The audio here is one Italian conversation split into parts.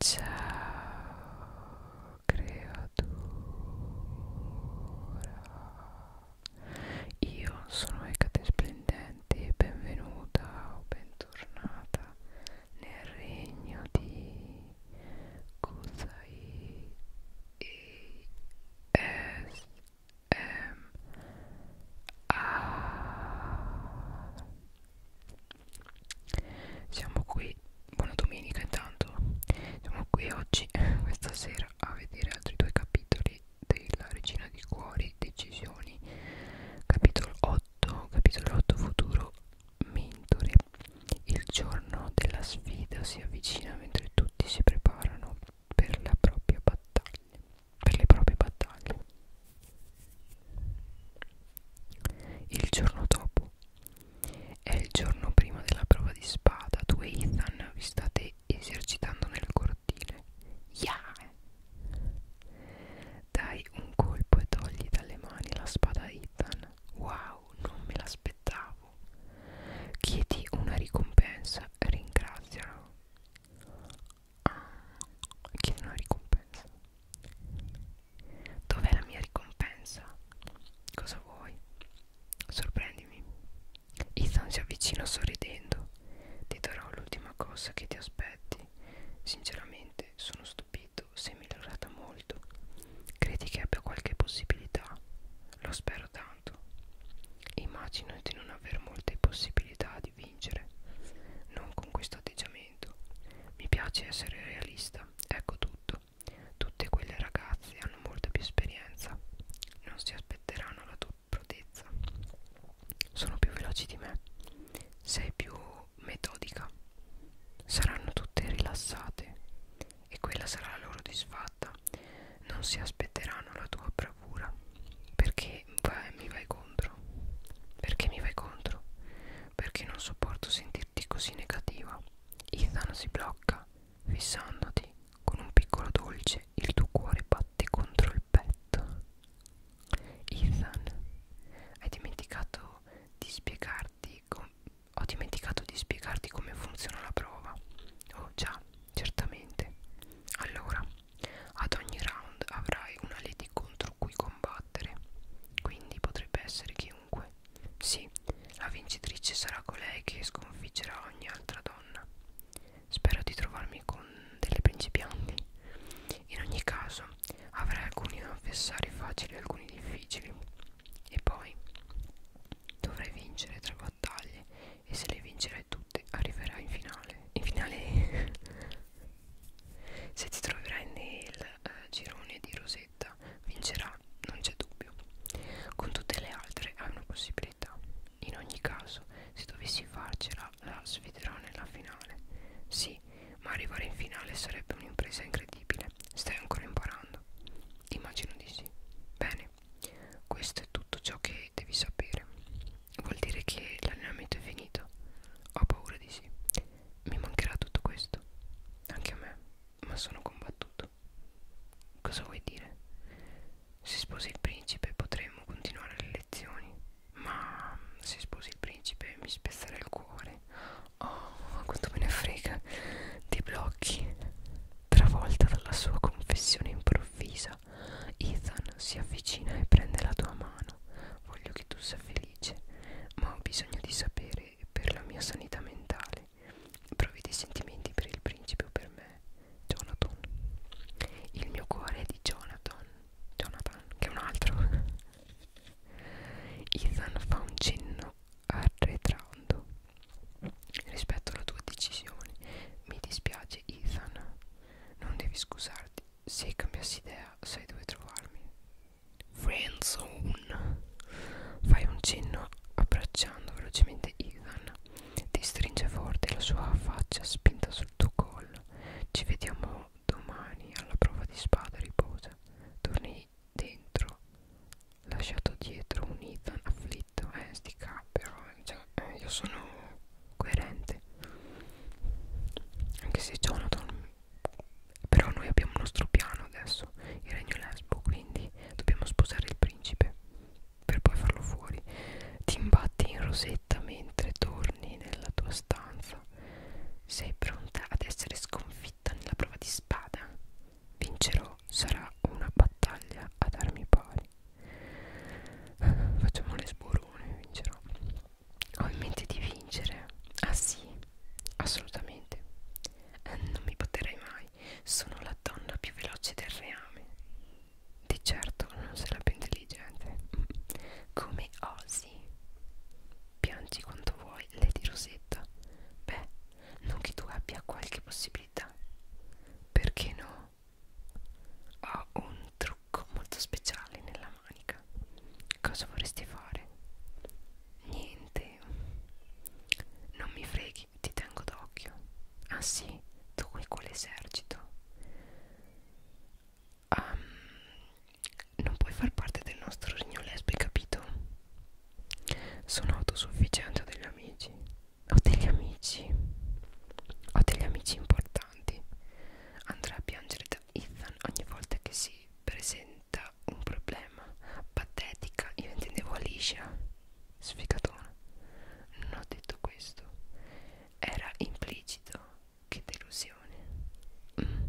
Ciao creatura Io sono Ecate Splendente e benvenuta o bentornata nel regno di Kusai e S M A siamo qui, buona domenica intanto Siamo qui oggi, questa sera, a vedere altri due capitoli della Regina di Cuori, Decisioni Capitolo 8, capitolo 8 Futuro, Mentore Il giorno della sfida si avvicina mentre tutti si preparano per la propria battaglia Per le proprie battaglie il giorno dopo è il giorno prima della prova di spada. Tu e Ethan vi state esercitando nel cortile. Yeah! Dai un colpo e togli dalle mani la spada a Ethan. Wow, non me l'aspettavo. Chiedi una ricompensa, ringrazialo. Ah, chiedi una ricompensa. Dov'è la mia ricompensa? Cosa vuoi? Sorprendimi. Ethan si avvicina sorridendo. Ti darò l'ultima cosa che ti aspetti. Sinceramente sono stupito, sei migliorata molto. Credi che abbia qualche possibilità? Lo spero tanto. Immagino di non aver molte possibilità di vincere. Non con questo atteggiamento momento. Mi piace essere realista, ecco tutto. Tutte quelle ragazze hanno molta più esperienza, non si aspetteranno la tua prodezza. Sono più veloci di me, sei più metodica. Saranno tutte rilassate e quella sarà la loro disfatta. Non si aspetteranno la tua bravura perché vai, mi vai contro. Perché mi vai contro? perché non sopporto sentirti così negativa. Ethan si blocca, fissandoti con un piccolo dolce, il tuo cuore batte contro il petto. Ethan, hai dimenticato di spiegarti ho dimenticato di spiegarti come funziona la prova. Oh già, certamente. Allora, ad ogni round avrai una lady contro cui combattere battere. Quindi potrebbe essere chiunque. Sì, la vincitrice sarà colei che sconfiggerà ogni altra donna. Spero di trovarmi con delle principianti. In ogni caso, avrai alcuni avversari facili e alcuni difficili. E poi dovrai vincere tre battaglie e se le vincerai tutte arriverai in finale. In finale Se ti troverai nel eh, girone di Rosetta, vincerà, non c'è dubbio. Con tutte le altre hai una possibilità. In ogni caso, se dovessi farcela, la sfiderò nella finale. Sì, ma arrivare in finale sarebbe un'impresa incredibile. Stai ancora imparando? Immagino di sì. Bene, questo è tutto ciò che devi sapere. Vuol dire che l'allenamento è finito? Ho paura di sì. Mi mancherà tutto questo, anche a me, ma sono combattuto. Cosa vuoi dire? Si sposi il principe potremmo continuare le lezioni, ma se sposi il principe mi spezzerà il cuore. Oh, quanto me ne frega. Ti blocchi. Travolta dalla sua confessione improvvisa, Ethan si avvicina e prende la tua mano. Voglio che tu sia felice felice, ma ho bisogno di sapere per la mia sanità mentale. Provi dei sentimenti per il principe o per me, Jonathan. Il mio cuore è di Jonathan, Jonathan, che è un altro. Ethan fa un cenno arretrando rispetto alla tua decisione. Mi dispiace, Ethan, non devi scusarti se cambiassi idea sai dove trovarmi friendzone fai un cenno abbracciando velocemente Ethan ti stringe forte la sua faccia spinta sul tuo collo ci vediamo domani alla prova di spada riposa torni dentro lasciato dietro un Ethan afflitto eh sti cap però cioè, eh, io sono coerente anche se Jonathan però noi abbiamo il nostro piano adesso, il regno lesbo, quindi dobbiamo sposare il principe per poi farlo fuori. Ti imbatti in rosetta mentre torni nella tua stanza. Sei pronta ad essere sconfitta nella prova di spada? Vincerò, sarà una battaglia ad armi pari. Facciamo le sborone, vincerò ho in mente di vincere ah sì assolutamente eh, non mi potrei mai sono la donna più veloce del reame di certo non sei la più intelligente come osi piangi quanto vuoi Lady Rosetta beh non che tu abbia qualche possibilità perché no ho un trucco molto speciale nella la manica cosa vorresti fare? niente non mi freghi ti tengo d'occhio ah sì tu e quell'esercito um, ehm, non puoi far parte del nostro regno lesbico capito? sono autosufficiente ho degli amici ho degli amici ho degli amici importanti andrà a piangere Ethan ogni volta che si presenta un problema patetica io intendevo Alicia sfigatona non ho detto questo era implicito che delusione mm.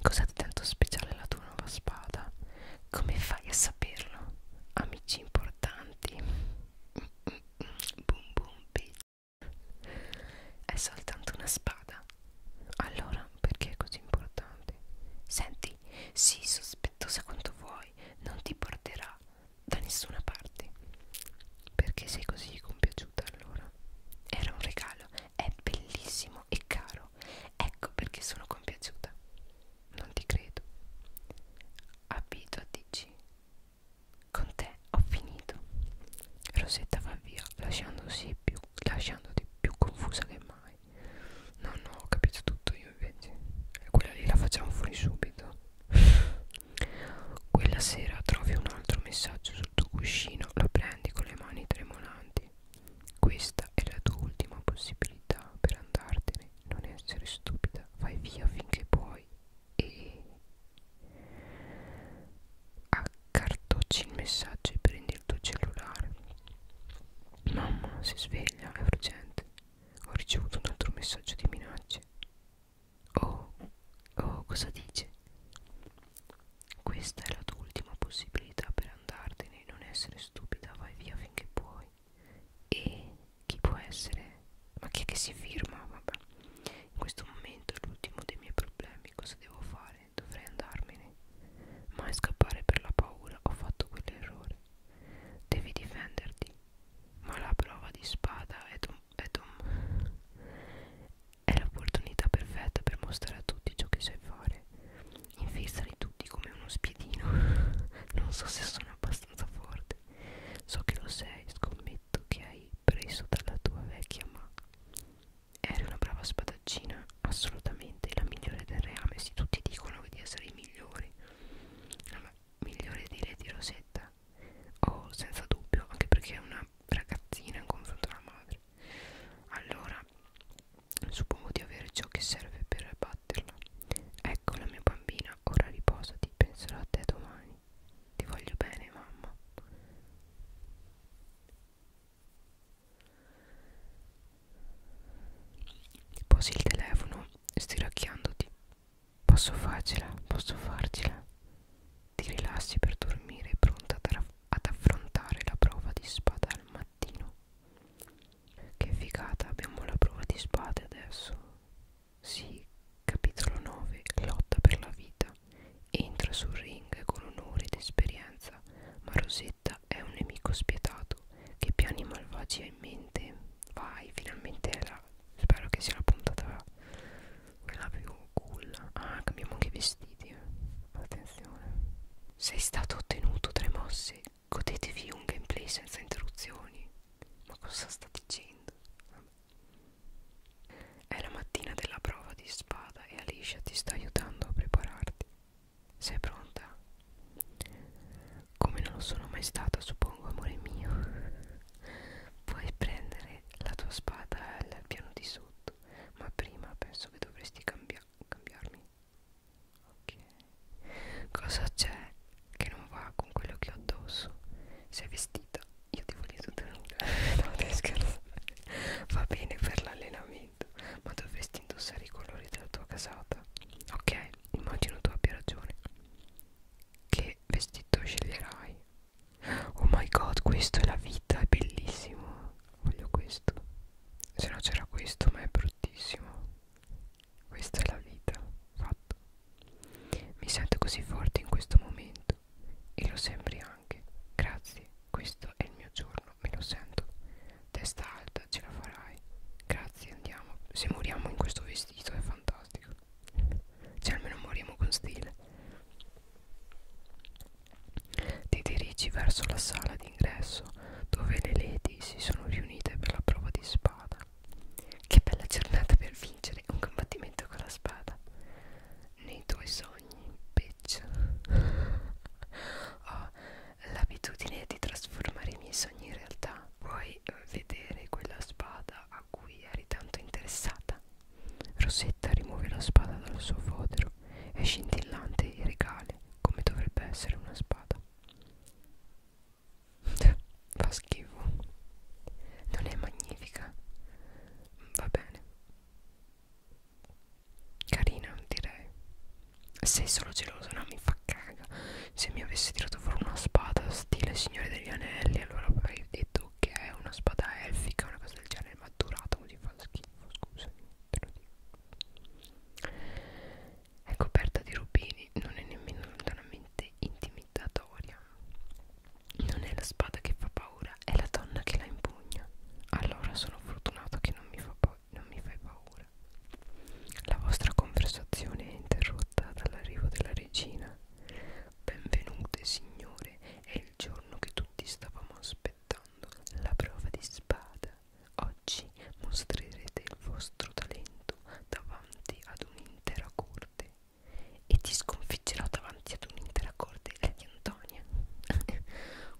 cos'è di tanto speciale la tua nuova spada come fai a saperlo amici importanti mm, mm, mm. boom boom bitch è soltanto una spada. Allora, perché è così importante? Senti, sii sospettosa quanto vuoi, non ti porterà da nessuna parte. Perché sei così compiaciuta allora? Era un regalo, è bellissimo e caro. Ecco perché sono compiaciuta. Non ti credo. Abituatici con te ho finito. Rosetta va via, lasciandosi più, lasciandoti più confusa che mai. No, no, ho capito tutto io invece. Quella lì la facciamo fuori subito. Quella sera trovi un altro messaggio sul tuo cuscino, lo prendi con le mani tremolanti. Questa è la tua ultima possibilità per andartene. Non essere stupida, vai via finché puoi e accartocci il messaggio e prendi il tuo cellulare mamma si sveglia è urgente ho ricevuto un altro messaggio di minacce oh oh cosa dice questa è la tua ultima possibilità per andartene e non essere stupida vai via finché puoi e chi può essere? Ma chi è che si firma? Vabbè. In questo momento è l'ultimo dei miei problemi. Cosa devo fare? Dovrei andarmene. Ma scappare per la paura ho fatto quell'errore. Devi difenderti. Ma la prova di spada è, è, è l'opportunità perfetta per mostrare a tutti ciò che sai fare. Infilzali tutti come uno spiedino. non so se sono abbastanza forte. So che lo sei, scommetto cavalletto che hai preso dalla tua vecchia ma eri una brava spadaccina assolutamente la migliore del reame se tutti dicono di essere i migliori allora, migliore dire di Rosetta oh senza dubbio anche perché è una ragazzina in confronto alla madre allora suppongo di avere ciò che serve per batterla ecco la mia bambina ora riposati penserò a te domani ti voglio bene, mamma. Posi il telefono stiracchiandoti. Posso farcela, posso farcela. Ti rilassi per dormire, pronta ad, ad affrontare la prova di spada al mattino. Che figata, abbiamo la prova di spade adesso. Sì, capitolo 9, lotta per la vita. Entra sul ring con onore ed esperienza, ma Rosetta è un nemico spietato che piani malvagi ha in mente. Vai, finalmente è la... Spero che sia la puntata quella più cool. Ah, cambiamo anche i vestiti. Eh. Attenzione. Sei stato ottenuto tre mosse. Godetevi un gameplay senza interruzioni. Ma cosa sta dicendo? Vabbè. È la mattina della prova di spada e Alicia ti sta aiutando a prepararti. Sei pronta? Come non lo sono mai stata, suppongo, amore mio. Puoi prendere la tua spada al piano di sotto, ma prima penso che dovresti cambia cambiarmi. Ok. Cosa c'è che non va con quello che ho addosso sei vestita io ti voglio tutta nuda no te scherzo va bene per l'allenamento ma dovresti indossare i colori della tua casata ok immagino tu abbia ragione che vestito sceglierai oh my god questo è la vita è bellissimo voglio questo se no c'era questo ma è bruttissimo questa è la vita, fatto. Mi sento così forte in questo momento. E lo sembri anche. Grazie, questo è il mio giorno, me lo sento. Testa alta, ce la farai. Grazie, andiamo. Se moriamo in questo vestito è fantastico. Cioè almeno moriamo con stile. Ti dirigi verso la sala d'ingresso dove le lady si sono riunite per la prova di spada. Che bella giornata per vincere un combattimento con la spada. Nei tuoi sogni, bitch. Ho l'abitudine di trasformare i miei sogni in realtà. Vuoi vedere quella spada a cui eri tanto interessata? Rosetta rimuove la spada dal suo fodero. È scintillante e regale, come dovrebbe essere una spada fa schifo non è magnifica va bene carina direi sei solo geloso no mi fa caga se mi avessi tirato fuori una spada stile signore degli anelli allora avrei detto che è una spada elfica una cosa del genere ma durata così fa schifo scusami te lo dico è coperta di rubini non è nemmeno lontanamente estremamente intimidatoria. Non è la spada che fa paura, è la donna che la impugna. Allora sono fortunato che non mi, fa non mi fai paura. La vostra conversazione è interrotta dall'arrivo della regina. Benvenute, signore, è il giorno che tutti stavamo aspettando, la prova di spada. Oggi mostrerete il vostro talento davanti ad un'intera corte corte e ti sconfiggerò davanti ad un'intera corte eh, di Antonia.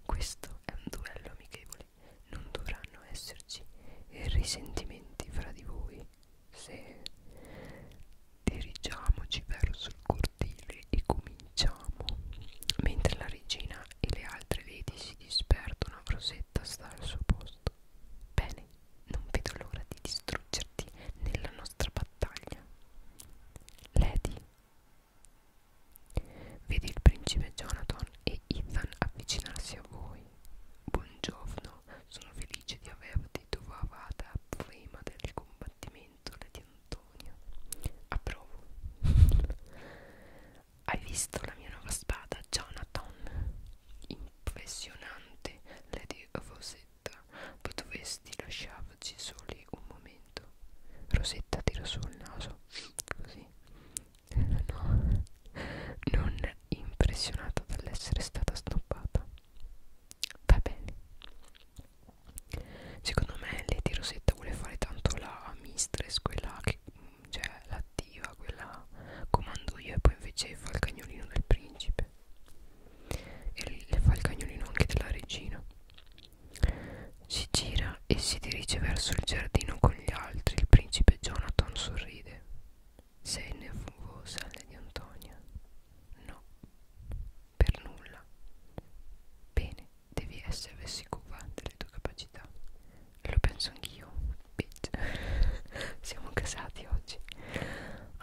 Questo è un duello amichevole. Non dovranno esserci risentimenti fra di voi. Se dirigiamoci verso il cortile e cominciamo. Mentre la regina e le altre lady si disperdono, Rosetta sta al suo posto. Bene, non vedo l'ora di distruggerti nella nostra battaglia. Lady. Vedi il principe Jonathan e Ethan avvicinarsi a voi. Buongiorno, sono felice di averti trovata prima del combattimento, Lady Antonia. Approvo. Hai visto la mia nuova spada, Jonathan? impressionante Lady Rosetta potresti lasciarci soli un momento Rosetta tirò su il naso così no non impressionata dall'essere stata snobbata va bene secondo me Lady Rosetta vuole fare tanto la mistress quella che cioè la arriva quella comando io e poi invece fa il cagnolino del principe e le fa il cagnolino anche della regina si gira e si dirige verso il giardino con gli altri il principe Jonathan sorride sei nervosa Lady Antonia no per nulla bene devi essere sicura delle tue capacità lo penso anch'io bitch siamo casati oggi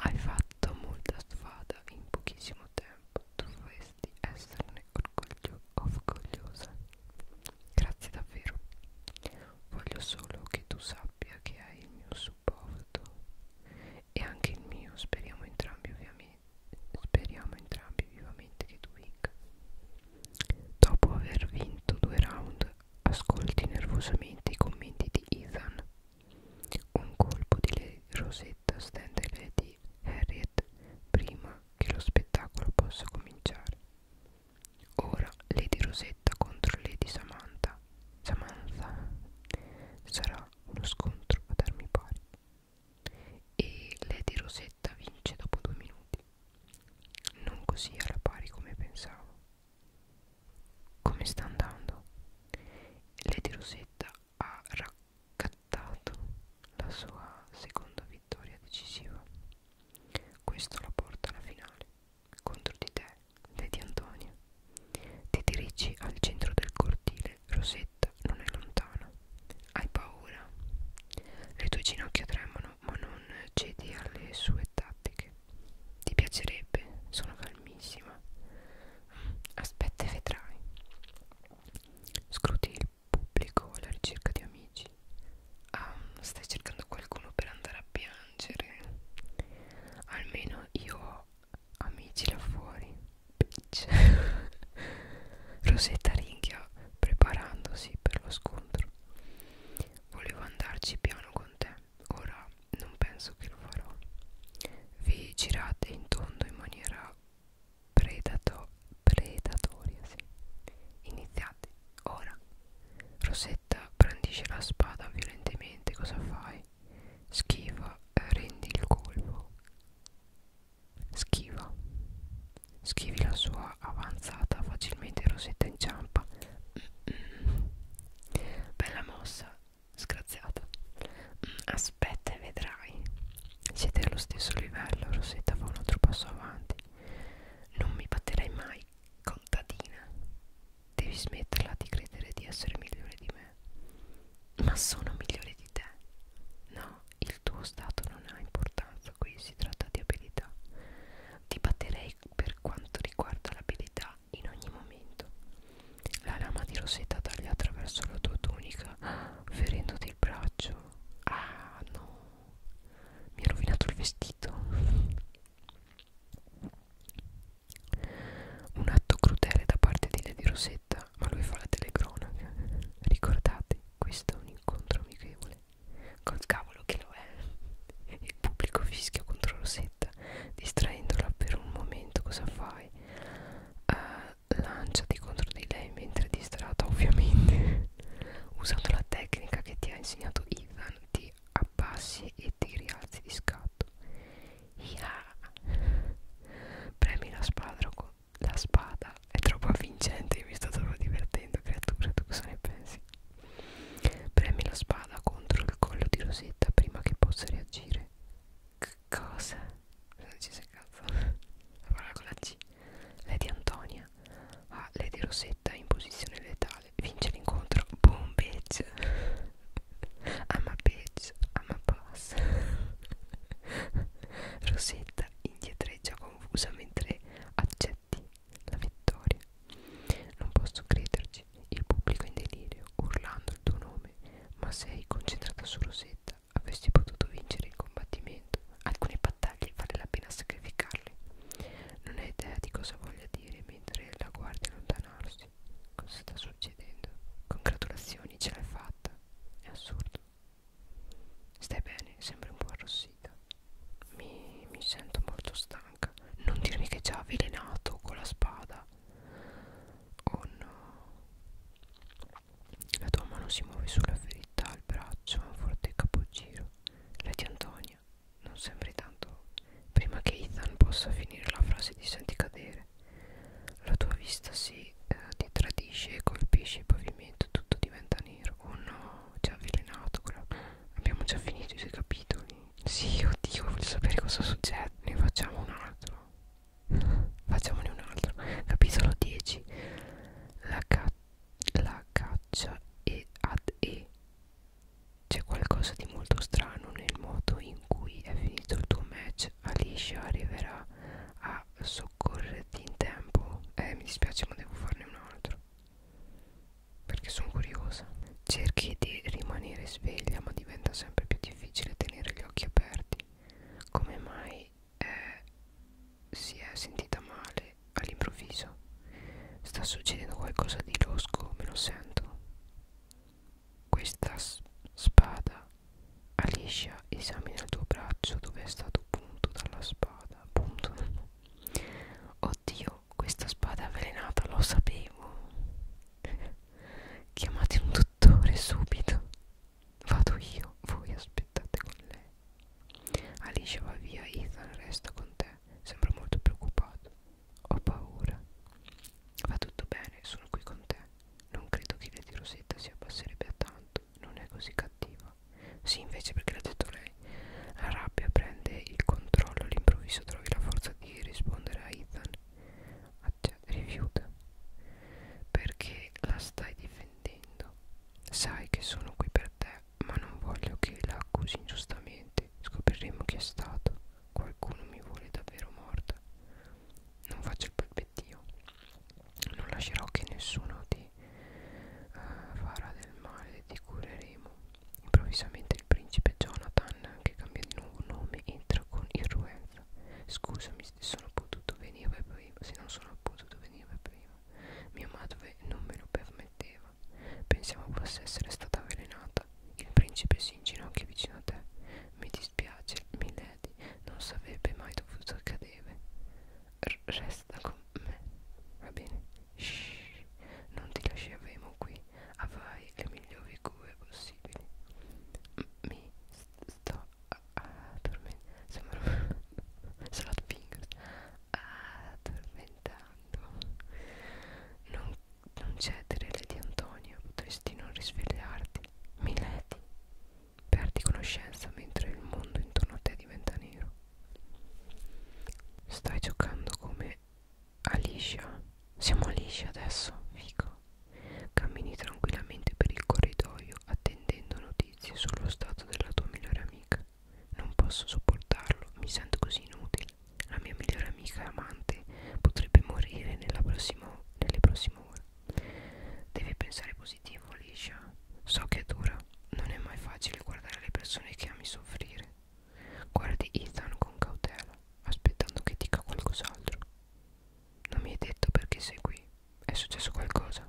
hai fatto molta strada in pochissimo tempo dovresti esserne orgoglio orgogliosa grazie davvero voglio solo che tu sappia che hai il mio supporto e anche il mio speriamo entrambi ovviamente speriamo entrambi vivamente che tu vinca dopo aver vinto due round Ascolti nervosamente i commenti di Ethan. Un colpo di rosetta stende le di Harriet prima che lo spettacolo possa cominciare. Ora Lady Rosetta contro Lady Samantha. Samantha sarà uno scontro ad armi pari. E Lady Rosetta vince dopo due minuti. Non così alla pari come pensavo. Come sta andando? Lady Rosetta ha raccattato la sua seconda vittoria decisiva. Questo la porta alla finale. Contro di te, Lady Antonia. Ti dirigi al centro del cortile. Rosetta non è lontana. Hai paura. Le tue ginocchia tremano, ma non cedi alle sue tattiche. Ti piacerebbe? Sono calmissima. Aspetta e vedrai. Scruti il pubblico alla ricerca di amici. Ah, stai cercando qualcuno per andare a piangere. Almeno io ho amici là fuori. Bitch. Rosetta ringhia preparandosi per lo scontro. Volevo andarci piano con ristorante ora non penso che lo farò vi girate in tondo in maniera predato, predatoria sì. iniziate ora Rosetta brandisce la spada violentemente cosa fai? schiva eh, rendi il colpo schiva schivi la sua avanzata facilmente Rosetta inciampa Bella mossa, sgraziata. Aspetta e vedrai. Siete allo stesso livello, Rosetta fa un altro passo avanti. Non mi batterai mai, contadina. Devi smetterla di credere di essere migliore di me. Ma sono migliore di te. No, il tuo stato non ha importanza qui, si tratta di abilità. Ti batterei e per quanto riguarda l'abilità in ogni momento. La lama di Rosetta taglia attraverso la tua tunica, ferendoti il braccio. Ah no, mi ha rovinato il vestito. Un atto crudele da parte di Lady Rosetta, ma lui fa la telecronaca. Ricordate, questo è un incontro amichevole col cavolo che lo è il pubblico fischia contro Rosetta distraendola per un momento cosa fai? Uh, lanciati contro di lei mentre è distratta ovviamente usando la tecnica che ti ha insegnato Ethan ti abbassi e ti rialzi di scatto yeah. premi la spada con la spada è troppo avvincente, mi sto troppo divertendo creatura, tu cosa ne pensi? Premi la spada contro il collo di Rosetta prima che possa reagire. C cosa? Non ci sei cazzo. La parola con la C. Lady Antonia. Ah, Lady Rosetta in posizione letale. Vince l'incontro. Boom, bitch. I'm a bitch. I'm a boss. Rosetta indietreggia confusa mentre accetta Betty, la vittoria. Non posso crederci, il pubblico è in delirio, urlando il tuo nome, ma sei concentrata su Rosetta. Avresti potuto vincere il combattimento. Alcune battaglie vale la pena sacrificarle. Non hai idea di cosa voglia dire mentre la guardi allontanarsi. Cosa sta succedendo? Congratulazioni, ce l'hai fatta. È assurdo. Stai bene, sembri un po' arrossita mi, mi sento molto stanca non dirmi che è già avvelenato con la spada oh no la tua mano si muove sulla ferita al braccio un forte capogiro la di Antonia non sembri tanto prima che Ethan possa finire la frase ti senti cadere la tua vista si eh, ti tradisce e colpisce il pavimento tutto diventa nero oh no ci ha avvelenato quella... Abbiamo già finito i due capitoli. Sì, oddio, voglio sapere cosa succede. Ne facciamo un altro. Facciamone un altro. Capitolo 10. La, ca la caccia e ad E. C'è qualcosa di molto strano nel modo in cui è finito il tuo match. Alicia arriverà a soccorrerti in tempo. Eh, mi dispiace, ma devo farne un altro perché sono curiosa cerchi di rimanere sveglia ma diventa sempre più difficile tenere gli occhi aperti come mai è, eh, si è sentita male all'improvviso sta succedendo qualcosa di losco me lo sento questa spada Alicia esamina il tuo braccio dove è stato punto dalla spada punto Oddio, questa spada è avvelenata, lo sapevo. Chiamate un dottore subito. Vado io, voi aspettate con lei. Alice va via, Ethan resta con te. Sembra molto preoccupato. Ho paura. Va tutto bene, sono qui con te. Non credo che l'idea di Rosetta si abbasserebbe a tanto. Non è così cattiva parlava sì invece perché l'ha detto lei la rabbia prende il controllo all'improvviso trovi la forza di rispondere a Ethan Accia, rifiuta perché la stai difendendo sai che sono qui per te ma non voglio che la accusi ingiustamente scopriremo chi è stato qualcuno mi vuole davvero morta non faccio il palpettino non lascerò che nessuno ti uh, farà del male ti cureremo improvvisamente il principe Jonathan che cambia di nuovo nome entra con irruenza scusami se sono potuto venire prima se non sono potuto venire prima mia madre non me lo permetteva pensiamo possa essere stata avvelenata il principe si inginocchia vicino a te mi dispiace milady non sarebbe mai dovuto accadere R resta con me, va bene? Shh, non ti lasceremo qui, avrai le migliori cure possibili. Mi sto addormentando, sembrano salad fingers, addormentando. Non, non cedere, Lady Antonia, potresti non risvegliarti. Mileti, perdi conoscenza mentre il mondo intorno a te diventa nero. Stai giocando come Alicia Siamo Alicia adesso, fico Cammini tranquillamente per il corridoio attendendo notizie sullo stato della tua migliore amica Non posso sopportarlo, mi sento così inutile La mia migliore amica amante potrebbe morire nella prossima, nelle prossime ore Devi pensare positivo Alicia So che è dura non è mai facile guardare le persone che ami soffrire. Guardi Ethan con cautela, aspettando che dica qualcos'altro. Non mi hai detto perché sei qui. È successo qualcosa?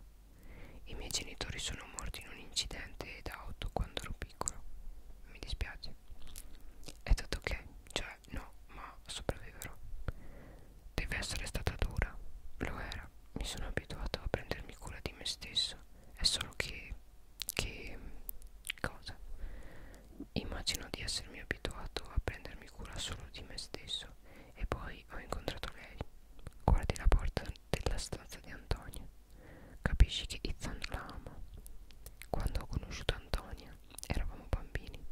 I miei genitori sono morti in un incidente d'auto quando ero piccolo. Mi dispiace. È tutto ok, cioè no, ma sopravviverò. Deve essere stata dura. Lo era. Mi sono abituato a prendermi cura di me stesso è solo che, che cosa immagino di essermi abituato a prendermi cura solo di me stesso e poi ho incontrato lei guardi la porta della stanza di Antonia capisci che Ethan la ama quando ho conosciuto Antonia eravamo bambini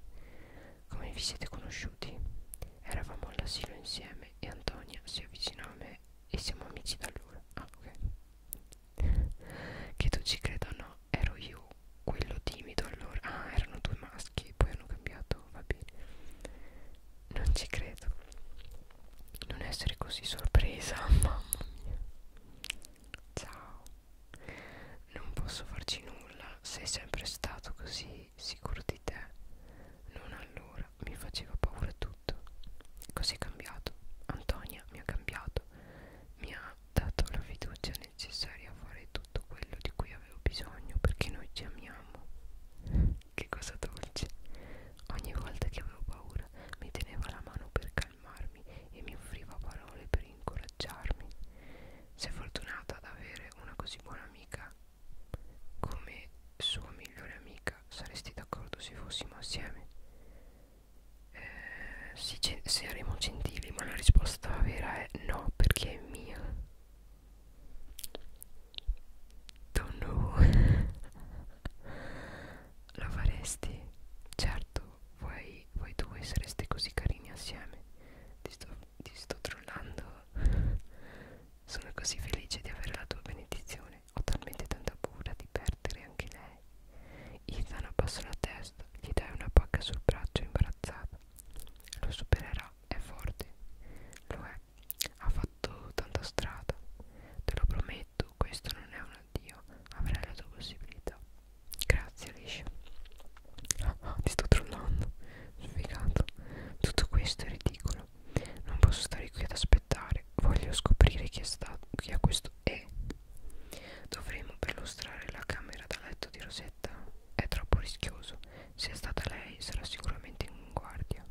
come vi siete conosciuti eravamo all'asilo insieme e Antonia si avvicinò a me Vabbè, e siamo amici da allora. Ah, ok. che tu ci creda o no, ero io quello timido allora. Ah, erano due maschi, poi hanno cambiato, va bene. Non ci credo. Non essere così sorpresa, mamma mia. Ciao. Non posso farci nulla, sei sempre stato così sicuro di te. Non allora. Allora mi faceva paura tutto. Cos'è cambiato? Antonia mi ha cambiato. Mi ha dato la fiducia necessaria a fare tutto quello di cui avevo bisogno perché noi ci amiamo. Che cosa dolce. Ogni volta che avevo paura mi teneva la mano per calmarmi e mi offriva parole per incoraggiarmi. Sei fortunata ad avere una così buona amica come sua migliore amica saresti d'accordo se fossimo assieme? Eh, sì, saremo gentili, ma la risposta vera è no, perché è mia. Don't know. Lo faresti? Certo, voi, voi due sareste così carini assieme. Ti sto, ti sto trollando. Sono così felice di avere la tua benedizione. Ho talmente tanta paura di perdere anche lei. Ethan abbassa la testa, gli dai una pacca sul braccio imbarazzata. Lo supererà, è forte. Lo è, ha fatto tanta strada. Te lo prometto, questo non è un addio. Avrai la tua possibilità. Grazie, Alicia. Oh, ah, oh, ah, ti sto trollando. Sfigato. Tutto questo è ridicolo sono non posso stare qui ad aspettare voglio scoprire chi è stato chi è questo e dovremo perlustrare la camera da letto di Rosetta è troppo rischioso se è stata lei sarà sicuramente in guardia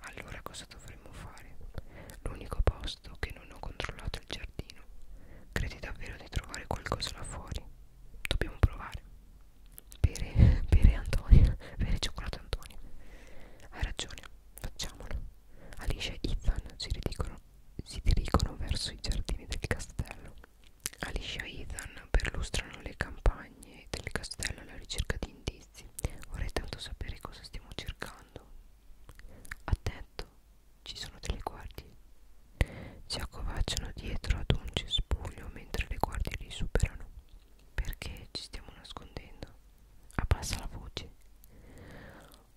allora cosa dovremmo fare l'unico posto che non ho controllato è il giardino credi davvero di trovare qualcosa là fuori dobbiamo provare bere, bere Antonio, bere cioccolato Antonio. Hai ragione, facciamolo. Alice e Ethan si dirigono, si dirigono verso i giardini del castello. Alice e Ethan perlustrano le campagne del castello alla ricerca di indizi. Vorrei tanto sapere cosa stiamo cercando. Attento, ci sono delle guardie. Si accovacciano dietro ad un cespuglio mentre le guardie li superano. Perché ci stiamo nascondendo? Abbassa la voce.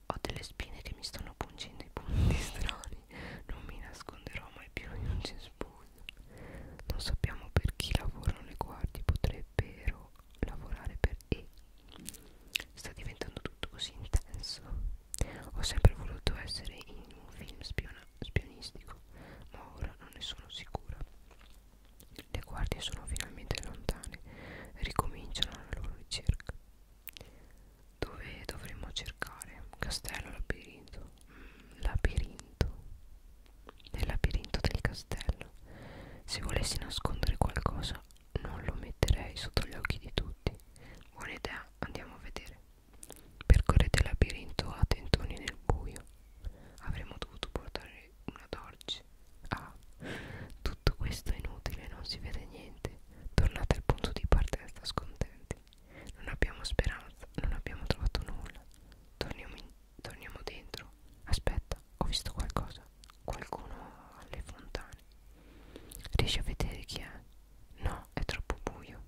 Ho delle spine che mi stanno pungendo i punti strani. Non mi nasconderò mai più in un cespuglio. Non sappiamo per chi lavorano le guardie, potrebbero lavorare per E. Sta diventando tutto così intenso. Ho sempre voluto essere in un film spiona spionistico, ma ora non ne sono sicura. Le guardie sono finalmente lontane e ricominciano la loro ricerca. Dove dovremmo cercare? Castello labirinto. Mm, labirinto. Nel labirinto del castello. Se volessi nascondere qualcosa, non lo metterei sotto gli occhi di tutti. Buona idea, andiamo a vedere. Percorrete il labirinto a tentoni nel buio. Avremmo dovuto portare una torcia. Ah, tutto questo è inutile, non si vede niente. Tornate al punto di partenza scontenti. Non abbiamo speranza, non abbiamo trovato nulla. Torniamo, in, torniamo dentro. Aspetta, ho visto qualcosa. Qualcuno alle fontane. Riesci a vedere chi è? No, è troppo buio.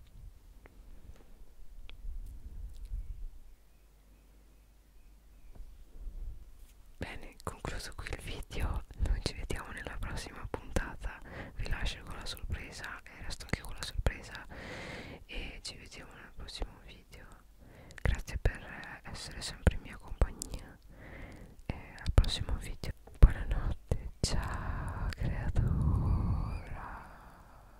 Bene, concluso qui il video, noi ci vediamo nella prossima puntata, vi lascio con la sorpresa e eh, resto anche con la sorpresa e ci vediamo nel prossimo video. Grazie per eh, essere sempre in mia compagnia e al prossimo video. Buonanotte, ciao creatura.